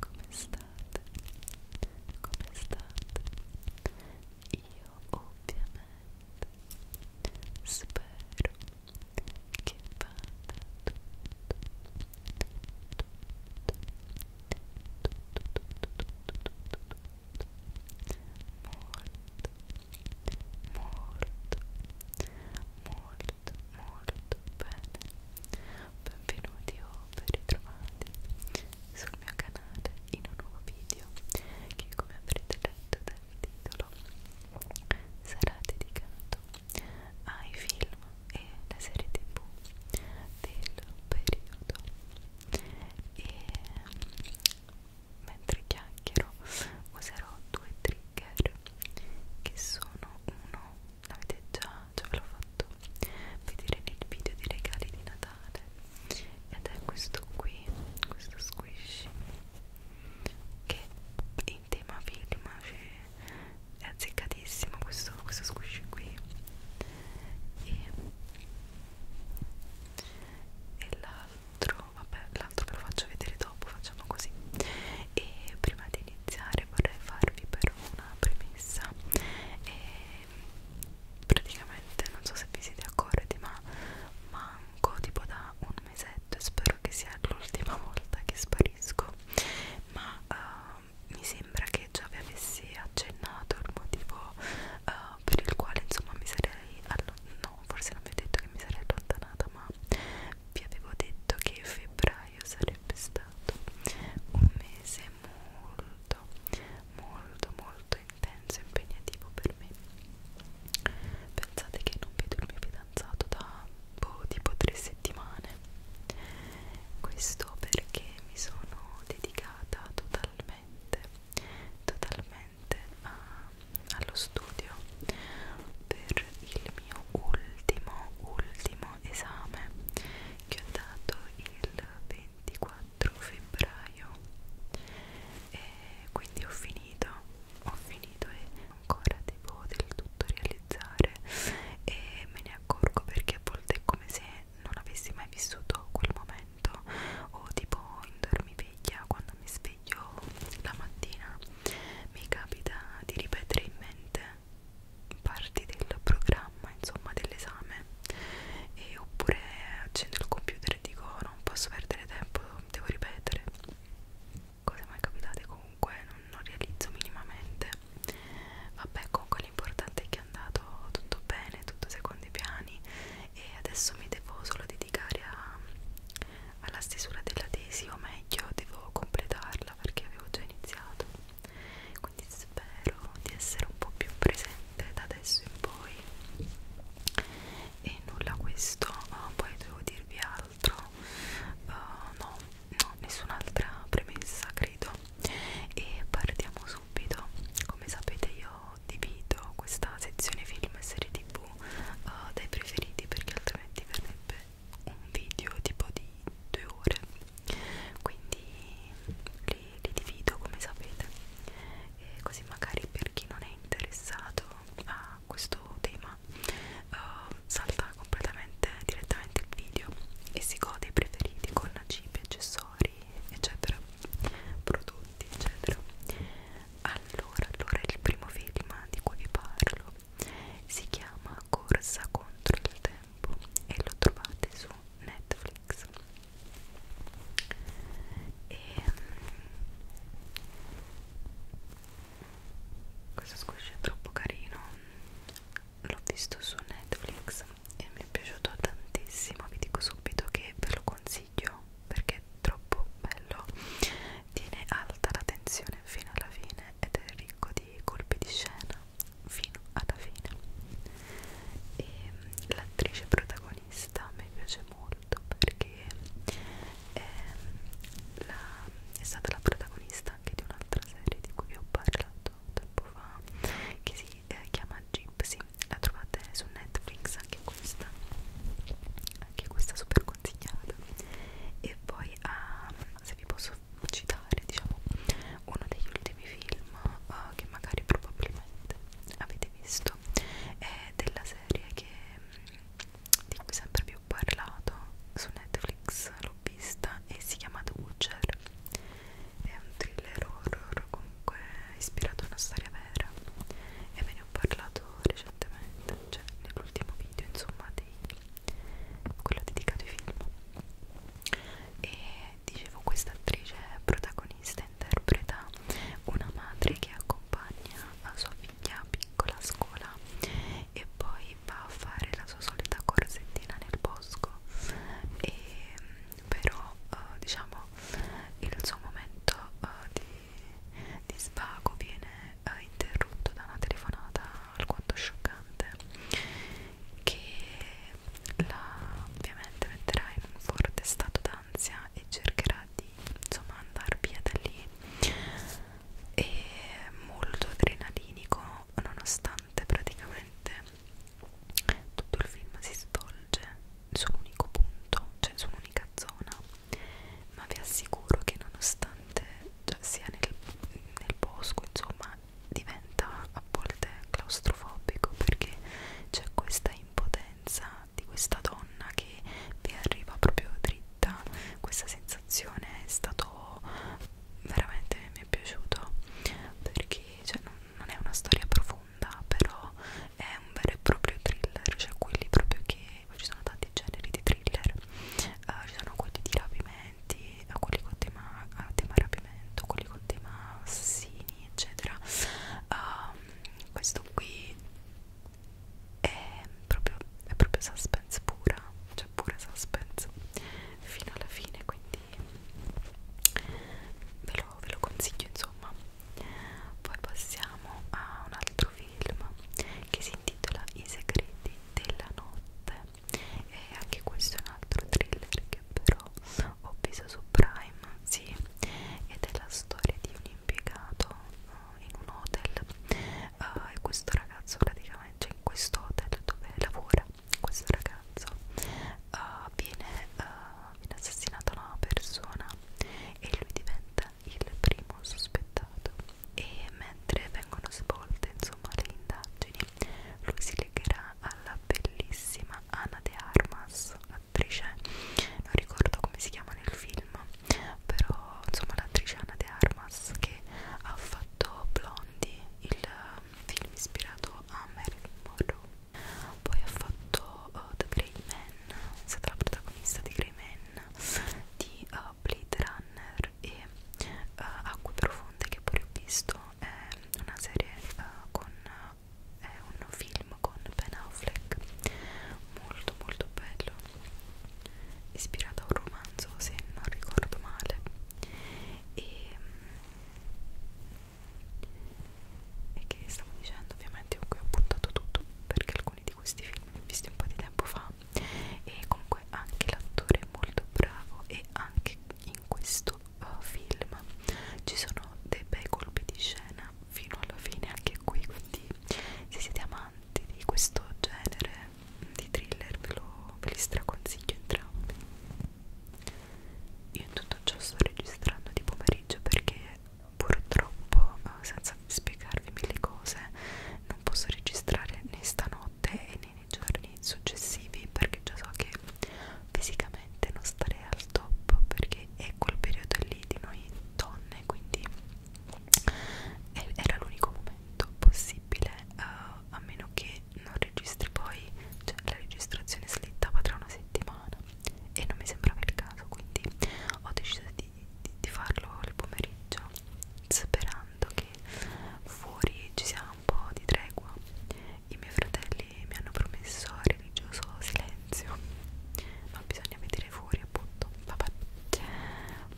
come state? Come state? Io ovviamente spero che vada tutto molto bene benvenuti o ben ritrovati sul mio canale in un nuovo video che come avrete letto dal titolo sarà dedicato ai film e le serie tv del periodo e mentre chiacchiero userò due trigger che sono uno l'avete già, già ve l'ho fatto vedere nel video dei regali di Natale ed è questo qui questo squishy che in tema film c'è eh, è azzeccatissimo questo, questo squish qui e, e l'altro vabbè l'altro ve lo faccio vedere dopo facciamo così e prima di iniziare vorrei farvi però una premessa e praticamente non so se vi siete accorti ma manco tipo da un mesetto e spero che sia l'ultima volta che sparo favorisco ma uh, mi sembra che già vi avessi accennato il motivo uh, per il quale insomma mi sarei no forse non vi ho detto che mi sarei allontanata ma vi avevo detto che febbraio sarebbe stato un mese molto molto molto intenso e impegnativo per me pensate che non vedo il mio fidanzato da boh, tipo tre settimane questo perché mi sono dedicata totalmente totalmente a, allo studio per il mio ultimo ultimo esame che ho dato il 24 febbraio e quindi ho finito ho finito e ancora devo del tutto realizzare e me ne accorgo perché a volte è come se non avessi mai vissuto quel momento o tipo in dormiveglia quando mi sveglio la mattina mi capita di ripetere in mente parti del programma insomma dell'esame e oppure accendo il computer e dico oh, non posso perdere tempo devo ripetere cose mai capitate comunque non, non realizzo minimamente vabbè comunque l'importante è che è andato tutto bene tutto secondo i piani e adesso mi devo solo dedicare a, alla stesura della tesi o meglio devo completarla perché avevo già iniziato quindi spero di essere un po' più presente da adesso in poi e nulla questo poi devo dirvi al altro uh, no, no, nessun'altra premessa credo e partiamo subito come sapete io divido questa sezione film e serie tv uh, eh, dai preferiti perché altrimenti verrebbe un video tipo di due ore quindi li, li divido come sapete e così magari per chi non è interessato a questo tema ma uh, eh, salta completamente direttamente il video e si gode i preferiti con cibi, accessori, eccetera, prodotti, eccetera. Allora, allora il primo film di cui vi parlo si chiama Corsa contro il tempo e lo trovate su Netflix. E mm, questo squishy è troppo carino l'ho visto su Netflix e mi è piaciuto tantissimo vi dico subito che ve lo consiglio perché è troppo bello tiene alta la tensione fino alla fine ed è ricco di colpi di scena fino alla fine e mm, l'attrice protagonista mi piace molto perché è, ehm, la, è stata la protagonista protagonista anche di un'altra serie di cui vi ho parlato tempo fa che si eh, chiama Gypsy la trovate su Netflix anche questa anche questa super consigliata e poi ah, se vi posso citare diciamo uno degli ultimi film uh, che magari probabilmente avete visto è della serie che mm, di cui sempre vi ho parlato su Netflix, lo l'ho vista e si chiama The Witcher è un thriller horror comunque ispirato a una storia vera e ve ne ho parlato recentemente cioè nell'ultimo video insomma di quello dedicato ai film e dicevo questa attrice protagonista interpreta una madre che accompagna la sua figlia piccola a scuola e poi va a fare la sua solita corsettina nel bosco e però eh, diciamo il suo momento eh, di, di svago viene eh, interrotto da una telefonata alquanto scioccante che la ovviamente metterà in un forte stato d'ansia e cercherà di insomma andare via da lì e molto adrenalinico nonostante praticamente tutto il film si svolge su un unico punto, cioè su un'unica zona ma vi assicuro che nonostante cioè, sia nel, nel bosco insomma diventa a volte claustrofobico perché c'è questa impotenza di questa donna che vi arriva proprio dritta vetta questa sensazione è stato veramente mi è piaciuto perché cioè, non, non è una storia profonda però è un vero e proprio thriller cioè quelli proprio che ci sono tanti generi di thriller uh, ci sono quelli di rapimenti eh, quelli con tema, eh, tema rapimento quelli con tema assassini eccetera uh, questo qui è proprio, è proprio suspense suspense pura cioè pure suspense fino alla fine quindi ve lo, ve lo consiglio insomma poi passiamo a un altro film che si intitola I segreti della notte e anche questo è un altro thriller che però ho visto su Prime sì ed è la storia di un impiegato eh, in un hotel uh, e questo ragazzo praticamente cioè in questo hotel dove lavora questo ragazzo uh, viene, uh, viene assassinata una persona e lui diventa il primo sospettato e mentre vengono svolte insomma le indagini lui si legherà alla bellissima Ana de Armas attrice non ricordo come si chiama nel film però insomma l'attrice Ana de Armas che ha fatto Blonde Blondie, il eh, film ispirato a Marilyn Monroe. Poi ha fatto uh, The Grey Man, è stata la protagonista di Grey Man, di uh, Blade Runner e uh, Acque Profonde che pure ho visto, è una serie uh, con... è un film con Ben Affleck molto molto bello ispirata a un romanzo se non ricordo male e, e che stavo dicendo ovviamente qui ho puntato tutto perché alcuni di questi film li ho visti un po' di tempo fa e comunque anche l'attore è molto bravo e anche in questo uh, film ci sono dei bei colpi di scena fino alla fine anche qui quindi se siete amanti di questo genere di thriller ve, lo, ve li straconsiglio entrambi io tutto ciò sto registrando di pomeriggio perché purtroppo eh, senza spiegarvi mille cose non posso registrare né stanotte e né nei giorni successivi perché già so che fisicamente non starei al top perché è quel periodo lì di noi donne quindi era l'unico momento possibile uh, a meno che non registri poi, cioè la registrazione slittava tra una settimana e non mi sembrava il caso, quindi ho deciso di, di, di farlo il pomeriggio sperando che fuori ci sia un po' di tregua. I miei fratelli mi hanno promesso religioso silenzio, ma bisogna vedere fuori appunto. Vabbè.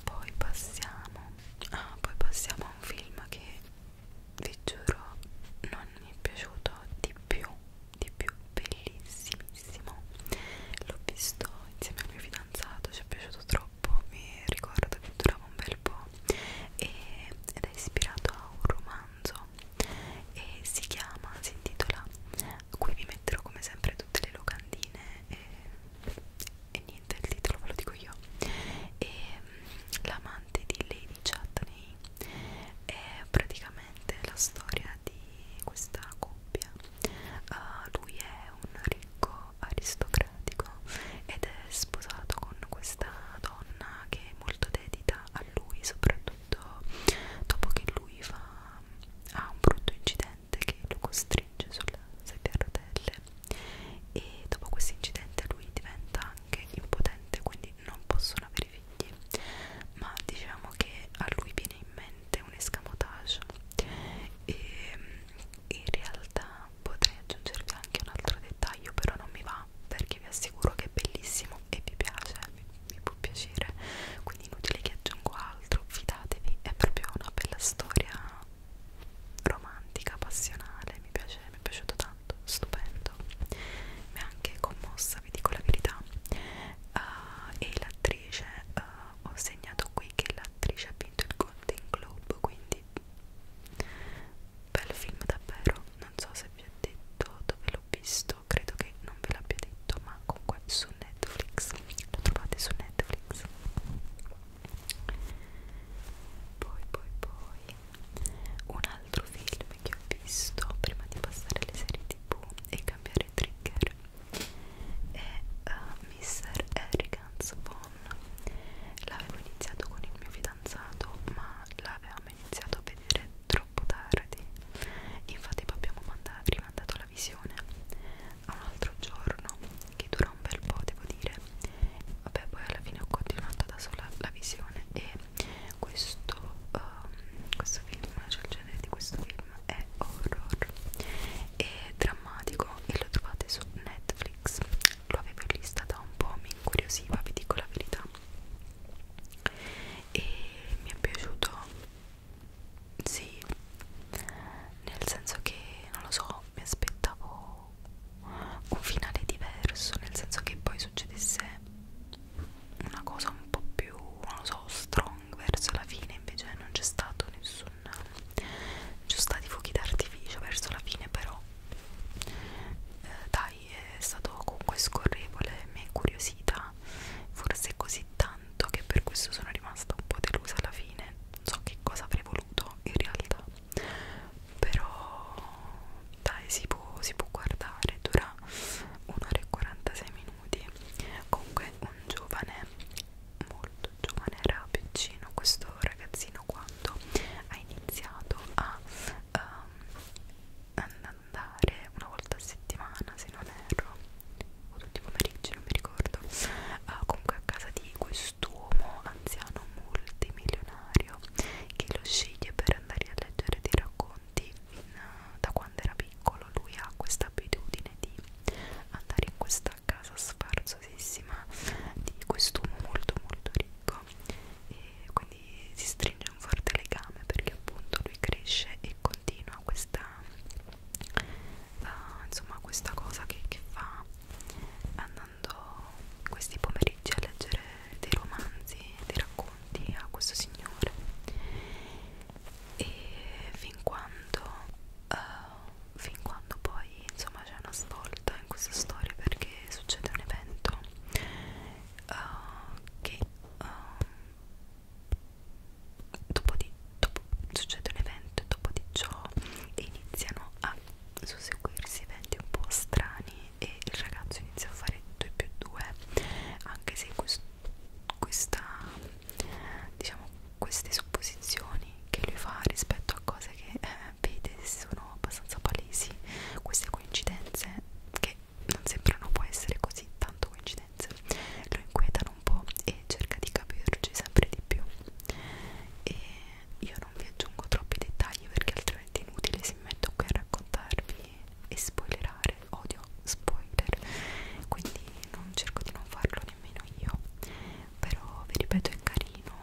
Poi passiamo ah, poi passiamo a un film che vi giuro non mi è piaciuto di più di più bellissimissimo l'ho visto insieme al mio fidanzato ci è piaciuto troppo mi ricordo che durava un bel po' e, ed è ispirato a un romanzo e si chiama si intitola qui vi metterò come sempre tutte le locandine e e niente il titolo ve lo dico io e ehm, l'amante di Lady Chatney è praticamente la storia di questa coppia uh, lui è un ricco aristocratico ed è sposato con questa donna che è molto dedita a lui soprattutto dopo che lui fa ha un brutto incidente che lo costringe sulla sedia a rotelle e dopo questo incidente lui diventa anche impotente quindi non possono avere figli ma diciamo che a lui viene in mente un escamotage e in realtà potrei aggiungervi anche un altro dettaglio però non mi va perché vi assicuro che è bellissimo e vi piace vi, vi può piacere quindi inutile che aggiungo altro fidatevi è proprio una bella storia romantica, passionale, mi piace, mi è piaciuto tanto, stupendo, mi ha anche commossa, vi dico la verità. Uh, e l'attrice, uh, ho segnato qui che l'attrice ha vinto il Golden Globe, quindi bel film davvero, non so se vi ho detto dove l'ho visto, credo che non ve l'abbia detto, ma comunque su Netflix, lo trovate su Netflix poi poi poi un altro film che ho visto prima di passare alle serie tv e cambiare trigger è uh, eh, Mr. Harrigan's Phone l'avevo iniziato con il mio fidanzato ma l'avevamo iniziato a vedere troppo tardi infatti abbiamo mandato, rimandato la visione a un altro giorno che dura un bel po' devo dire vabbè poi alla fine ho continuato da sola la visione e questo, um, questo film cioè il genere di questo film è horror e drammatico e lo trovate su Netflix lo avevo in lista da un po' mi incuriosiva vi dico la verità e mi è piaciuto sì, nel senso che non lo so, mi aspettavo un finale diverso, nel senso che poi succedesse una cosa un po' più, non lo so, strong verso la fine, invece non c'è stato nessun... non ci sono stati fuochi d'artificio verso la fine, però eh, dai, è stato comunque scorrevole, mi è curiosità, forse così tanto che per questo sono rimasta un po' delusa alla fine, non so che cosa avrei voluto in realtà però dai si può, si può guardare dura un'ora e 46 minuti comunque un giovane molto giovane era piccino questo ragazzino quando ha iniziato a um, andare una volta a settimana se non erro o tutti i pomeriggi non mi ricordo uh, comunque a casa di questo quest'uomo anziano multimilionario che lo sceglie per andare a leggere dei racconti in, eh, da quando era piccolo lui ha questa abitudine di andare in questa casa sfarzosissima di quest'uomo molto molto ricco e quindi si stringe un forte legame perché appunto lui cresce e continua questa uh, insomma questa cosa che, che fa andando questi pomeriggi a leggere dei romanzi, dei racconti a questo signore e fin quando, uh, fin quando poi insomma c'è una svolta in questa storia perché succede un evento uh, che uh, dopo, di, do, dopo succede un evento e dopo di ciò iniziano a susseguirsi eventi un po' strani e il ragazzo inizia a fare 2 più 2 anche se quest questa diciamo queste supposizioni che lui fa rispetto a cose che eh, vede sono abbastanza palesi queste coincidenze che non sembrano può essere così tanto coincidenze lo inquietano un po' e cerca di capirci sempre di più e io non vi aggiungo troppi dettagli perché altrimenti è inutile se mi metto qui a raccontarvi e spoilerare, odio spoiler quindi non cerco di non farlo nemmeno io però vi ripeto è carino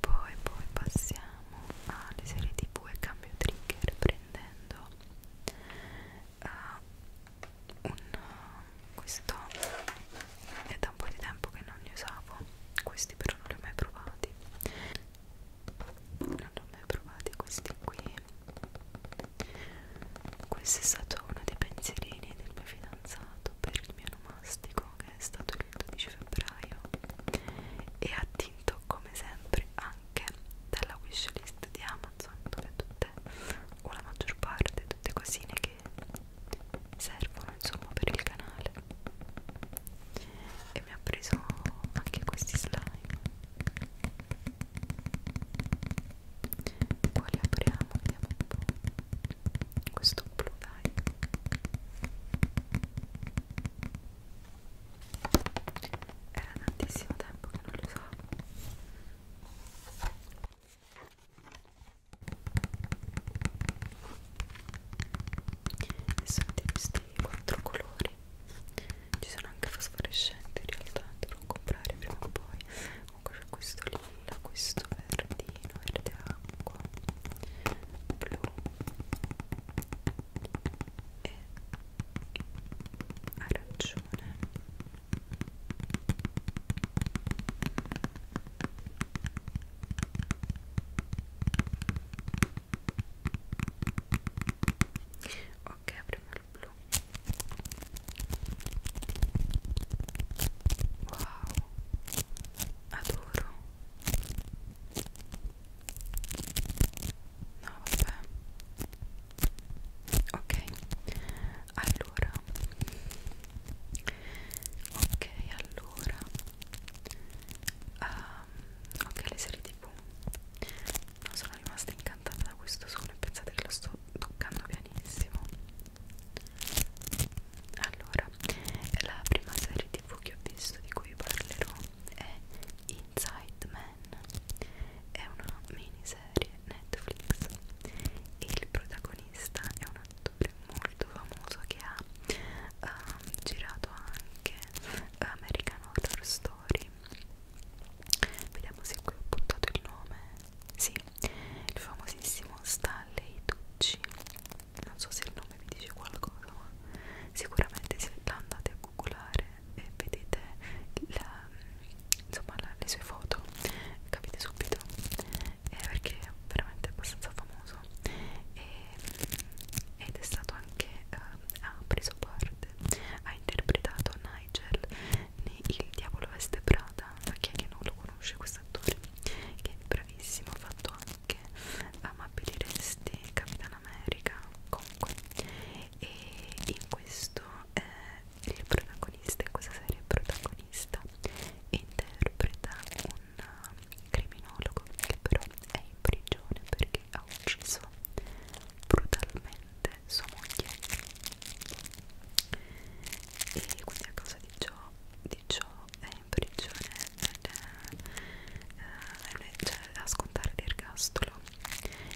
poi poi passiamo alle serie tv e cambio trigger prendendo uh, un, uh, questo è da un po' di tempo che non li usavo questi però non li ho mai provati non li ho mai provati questi qui questo è stato uno dei pensierini del mio fidanzato per il mio nomastico che è stato il 12 febbraio e attinto come sempre anche dalla wishlist di Amazon insomma, tutte o la maggior parte, tutte cosine che servono insomma per il canale e mi ha preso anche questi slime quali apriamo? vediamo un po' questo blu dai era tantissimo tempo che non lo usavo e sono di questi quattro colori ci sono anche fosforescenti in realtà dovrò comprare prima o poi comunque c'è questo lilla questo verdino verde acqua blu e arancione Ok, apriamo il blu. Wow, adoro. No, vabbè. Ok, allora ok allora um, ok le serie tv non sono rimasta incantata da questo suono e pensate che lo sto toccando pianissimo allora la prima serie tv che ho visto di cui vi parlerò è Inside Man Man è una miniserie Netflix e il protagonista è un attore molto famoso che ha uh, girato anche eh, American Horror Story vediamo se qui ho puntato il nome sì, il famosissimo Stanley Tucci non so se il nome vi dice qualcosa ma sicuramente se andate a googlare e vedete la insomma la, le sue foto capite subito eh, perché è veramente abbastanza famoso e, ed è stato anche eh, ha preso parte ha interpretato Nigel in Il diavolo veste Prada ma chi è che non lo conosce questo attore che è bravissimo ha fatto anche Amabili Resti Capitan America comunque e in questo eh, il protagonista in questa serie il protagonista interpreta un eh, criminologo che però è in prigione perché ha ucciso brutalmente sua moglie e quindi a causa di ciò, di ciò è in prigione ed eh, è, eh, cioè, a scontare l'ergastolo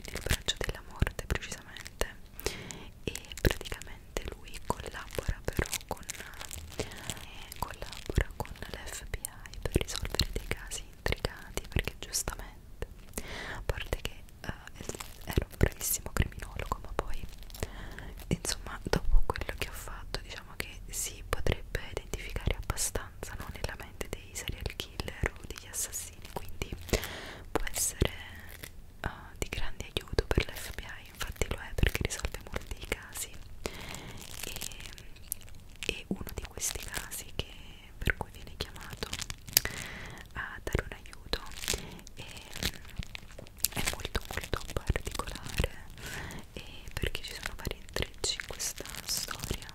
nel braccio della morte precisamente e praticamente lui collabora però con, eh, collabora con l'FBI per risolvere dei casi intricati perché giustamente a parte che eh, era un bravissimo criminologo ma poi insomma dopo quello che ho fatto diciamo che si potrebbe identificare abbastanza no, nella mente dei serial killer o degli assassini quindi può essere uh, di grande aiuto per l'FBI, infatti lo è perché risolve molti casi e, e uno di questi casi che, per cui viene chiamato a dare un aiuto e, è molto molto particolare e perché ci sono vari intrecci in questa storia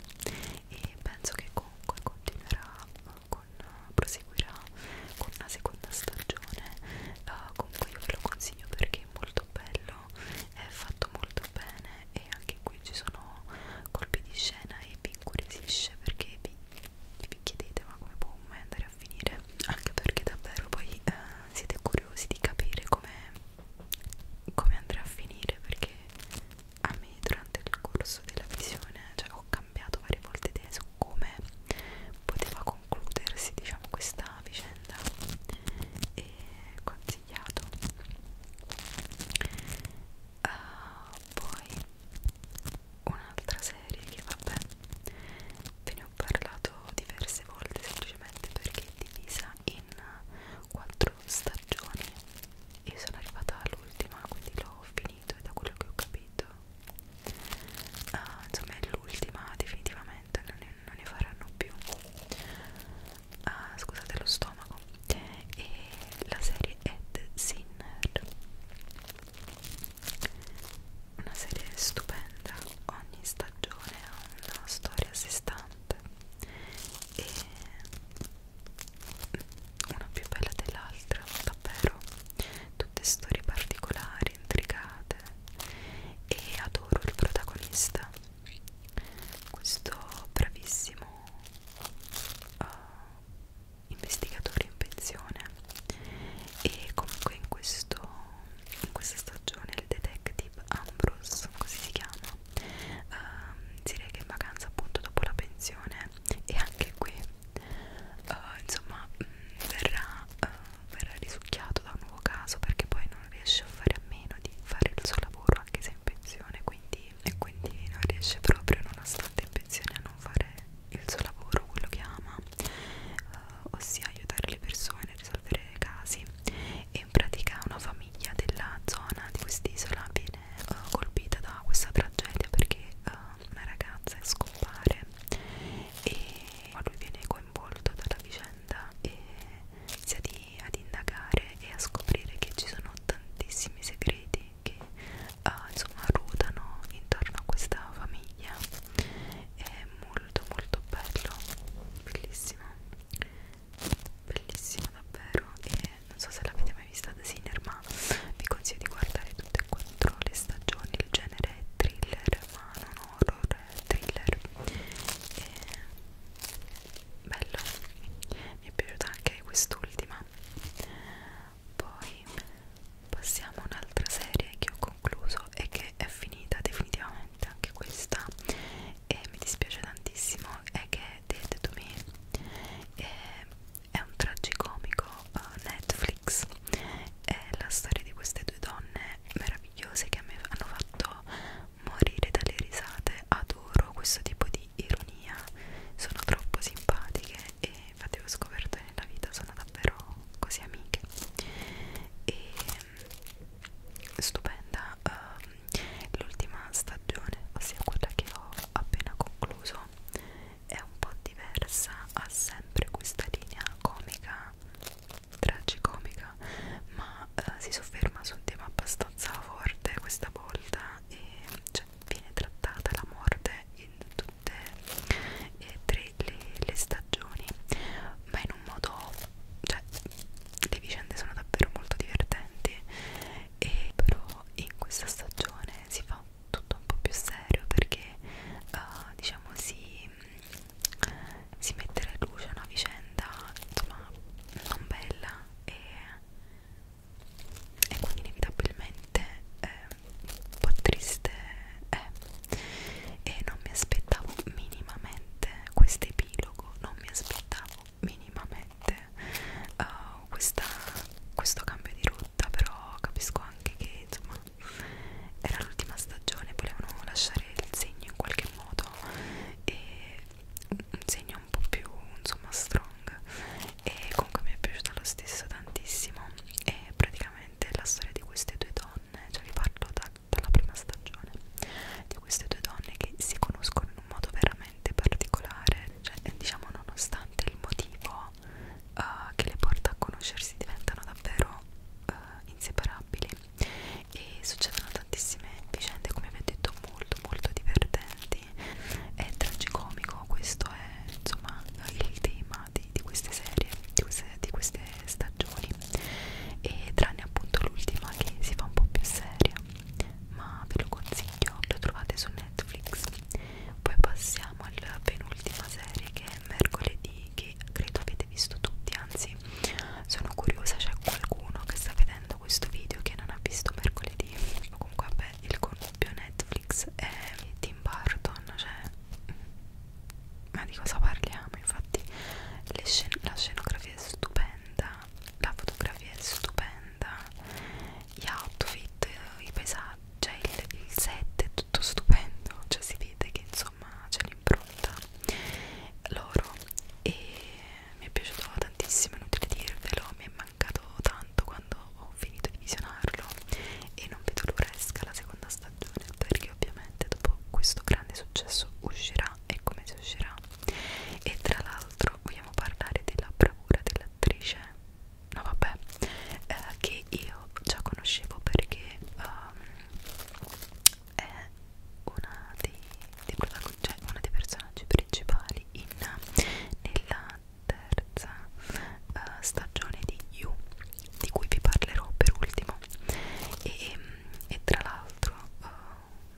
e penso che comunque continuerà con, proseguirà con una seconda stagione uh, comunque io ve lo consiglio perché è molto bello è fatto molto bene e anche qui ci sono colpi di scena e vi incuriosisce perché vi, vi chiedete ma come può mai andare a finire anche perché davvero poi uh, siete curiosi di capire come come andrà a finire perché a me poi durante il corso della visione cioè, ho cambiato varie volte idea su come poteva concludersi diciamo questa vicenda e consigliato uh, poi un'altra serie che vabbè ve ne ho parlato diverse volte semplicemente perché è divisa in quattro stagioni io sono arrivata all'ultima quindi l'ho finita finito e da quello che ho capito uh, insomma è l'ultima definitivamente non ne, non ne faranno più uh, scusate lo stomaco e la serie Ed Sinner una serie stupenda ogni stagione ha una storia a sé stante e una più bella dell'altra, davvero tutte storie particolari, intricate e adoro il protagonista questo bravissimo uh, investigatore in pensione e comunque in, questo, in questa stagione il detective Ambrose, così si chiama, uh, si reca in vacanza appunto dopo la pensione e anche qui uh, insomma mh, mm, verrà, uh, verrà risucchiato da un nuovo caso perché poi non riesce a fare a meno di fare il suo lavoro anche se è in pensione quindi, e quindi non riesce proprio nonostante in pensione a non fare il suo lavoro, quello che ama uh, ossia aiutare le persone a risolvere casi e in pratica una famiglia della zona di quest'isola viene uh, colpita da questa tragedia perché uh, una ragazza e scompare e lui viene coinvolto dalla vicenda e inizia di, ad indagare e a scoprire che ci sono tantissimi segreti che uh, insomma ruotano intorno a questa famiglia è molto molto bello bellissimo bellissimo davvero e non so se l'avete mai vista da Sinner ma vi consiglio di guardare tutte e quattro le stagioni il genere è thriller ma non horror è thriller e bello mi è piaciuta anche quest'ultima poi passiamo a un'altra serie che ho concluso e che è finita definitivamente anche questa e mi dispiace tantissimo è che è Dead to Me e è un tragicomico uh, Netflix è la storia di queste due donne meravigliose che mi hanno fatto morire dalle risate adoro questo tipo di ironia sono troppo simpatiche e infatti ho scoperto che nella vita sono davvero così amiche e mm, stupenda uh, l'ultima stagione ossia quella che ho appena concluso è un po' diversa, ha sempre questa linea comica, tragicomica, ma eh, si sofferma su un tema abbastanza forte questa volta e cioè, viene trattata la morte in tutte e tre le, le stagioni, ma in un modo, cioè le vicende sono davvero molto divertenti e però in questa stagione si fa un tutto un po' più serio perché uh, diciamo si, si mette alla luce una vicenda insomma non bella e, e quindi inevitabilmente eh, un po' triste è eh. e non mi aspettavo minimamente questo epilogo non mi aspettavo minimamente uh, questa, questo cambio di rotta però capisco anche che insomma era l'ultima stagione volevano lasciare il segno in qualche modo e un segno un po' più insomma strong e comunque mi è piaciuto lo stesso tantissimo e praticamente la storia di queste due donne cioè vi parlo da, dalla prima stagione di queste due donne che si conoscono in un modo veramente particolare cioè diciamo nonostante il motivo vita uh, eh, che le porta a conoscersi diventano davvero uh, inseparabili e succedono tantissime vicende come vi ho detto molto molto divertenti è tragicomico questo è insomma il tema di, di queste serie di queste, di queste stagioni e tranne appunto l'ultima che si fa un po' più seria ma ve lo consiglio lo trovate su Netflix poi passiamo alla penultima serie che è mercoledì che credo avete visto tutti anzi sono curiosa c'è qualcuno che sta vedendo questo video che non ha visto mercoledì o comunque vabbè il connubio Netflix è Tim Burton cioè mm, ma di cosa parliamo infatti scen la scenografia è stupenda la fotografia è stupenda locanda, gli outfit, eh, i paesaggi, cioè il, il set è tutto stupendo, cioè si vede che insomma c'è l'impronta loro e mi è piaciuto tantissimo, inutile dirvelo, mi è mancato tanto quando ho finito di visionarlo e non vedo l'ora esca la seconda stagione perché ovviamente dopo questo grande successo uscirà e come si uscirà e tra l'altro vogliamo parlare della bravura dell'attrice no vabbè eh, che io già conoscevo perché um, è una dei, dei cioè una dei personaggi principali in, nella terza uh, stagione di You di cui vi parlerò per ultimo e, e tra l'altro uh,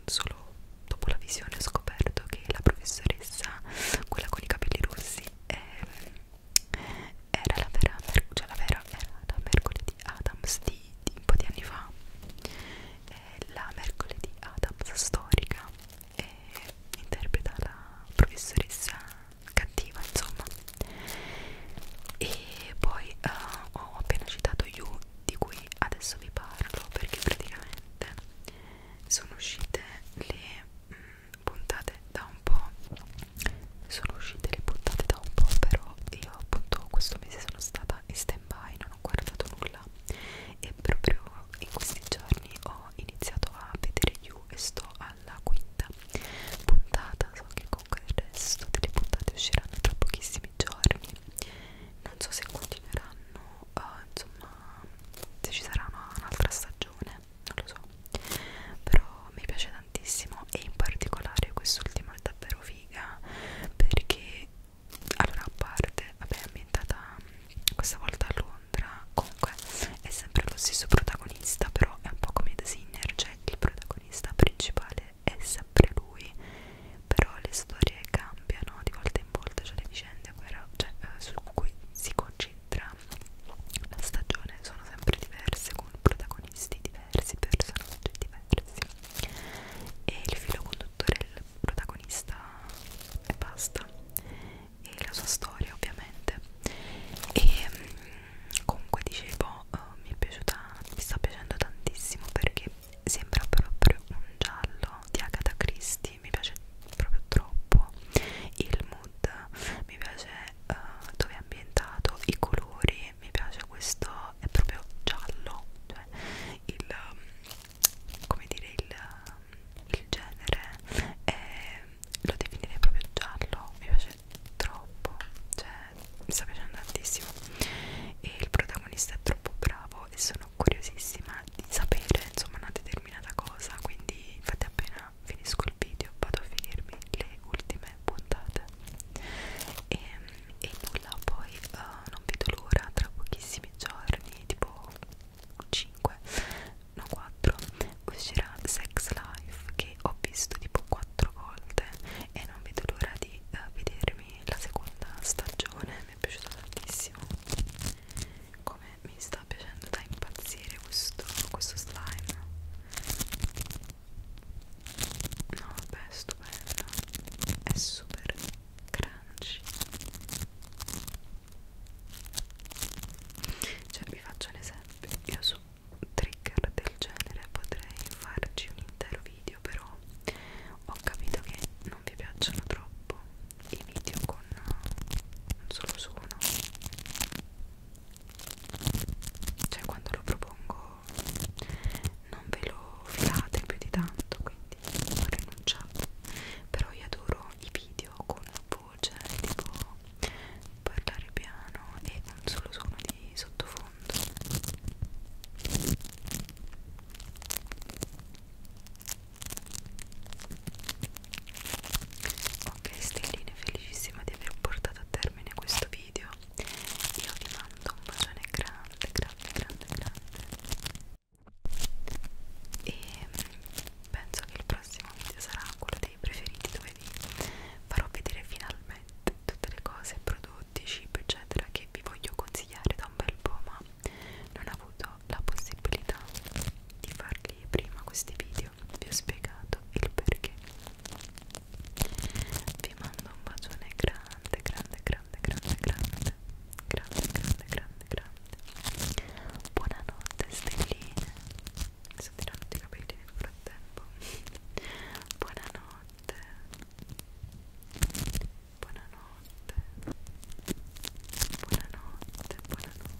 solo dopo la visione ho scoperto che la professoressa quella con i capelli rossi ehm, era la vera, cioè la vera era la mercoledì Adams di, di un po' di anni fa eh, la mercoledì Adams storica eh, interpreta la professoressa cattiva insomma e poi eh, ho appena citato You di cui adesso vi parlo perché praticamente sono uscite le mh, mm, puntate da un po' sono uscite le puntate da un po' però io appunto questo mese sono stata in stand by non ho guardato nulla e proprio in questi giorni ho iniziato a vedere You e sto alla quinta puntata so che comunque il resto delle puntate usciranno tra pochissimi giorni non so se continueranno uh, insomma se ci sarà un'altra stagione non lo so però mi piace tantissimo e in particolare quest'ultima è davvero figa perché allora a parte vabbè è ambientata questa volta a Londra comunque è sempre lo stesso protagonista però è un po' come The Sinner cioè il protagonista principale è sempre lui però le storie cambiano di volta in volta cioè le vicende però, cioè, eh, su cui si concentra tra la stagione sono sempre diverse con protagonisti diversi, personaggi diversi e il filo conduttore è il protagonista e basta e la sua storia ovviamente e mm, comunque dicevo oh, mi è piaciuta mi sta piacendo tantissimo perché sembra proprio un giallo di Agatha Christie sì, mi piace proprio troppo il mood, mi piace uh, dove è ambientato, i colori, mi piace questo, è proprio giallo, cioè il, come dire, il, il genere è, lo definirei proprio giallo, mi piace troppo, cioè mi sta piacendo tantissimo e il protagonista è troppo bravo e sono curiosissima di sapere insomma una determinata cosa quindi infatti appena finisco il video vado a finirmi le ultime puntate e, ehm, e nulla poi uh, non vedo l'ora tra pochissimi giorni tipo 5 no 4 uscirà Sex Life che ho visto tipo 4 volte e non vedo l'ora di uh, vedermi la seconda stagione mi è piaciuta tantissimo come mi sta piacendo da impazzire questo, questo slime no vabbè è stupendo è super crunchy cioè vi faccio un esempio io su trigger del genere potrei farci un intero video però ho capito che non vi piacciono troppo i video con eh, un solo suono cioè quando lo propongo non ve lo filate più di tanto quindi ho rinunciato però io adoro i video con voce tipo parlare piano e un solo suono di sottofondo Ok stelline, felicissima di aver portato a termine questo video. Io vi mando un bacione grande, grande, grande, grande. E penso che il prossimo video sarà quello dei preferiti dove vi farò vedere finalmente tutte le cose, prodotti, cibo eccetera che vi voglio consigliare da un bel po' ma non ho avuto la possibilità di farli prima questi video vi ho spiegato il perché vi mando un bacione grande grande grande grande grande grande grande grande grande buonanotte stelline mi sono tirando i capelli nel frattempo buonanotte buonanotte buonanotte buonanotte buonanotte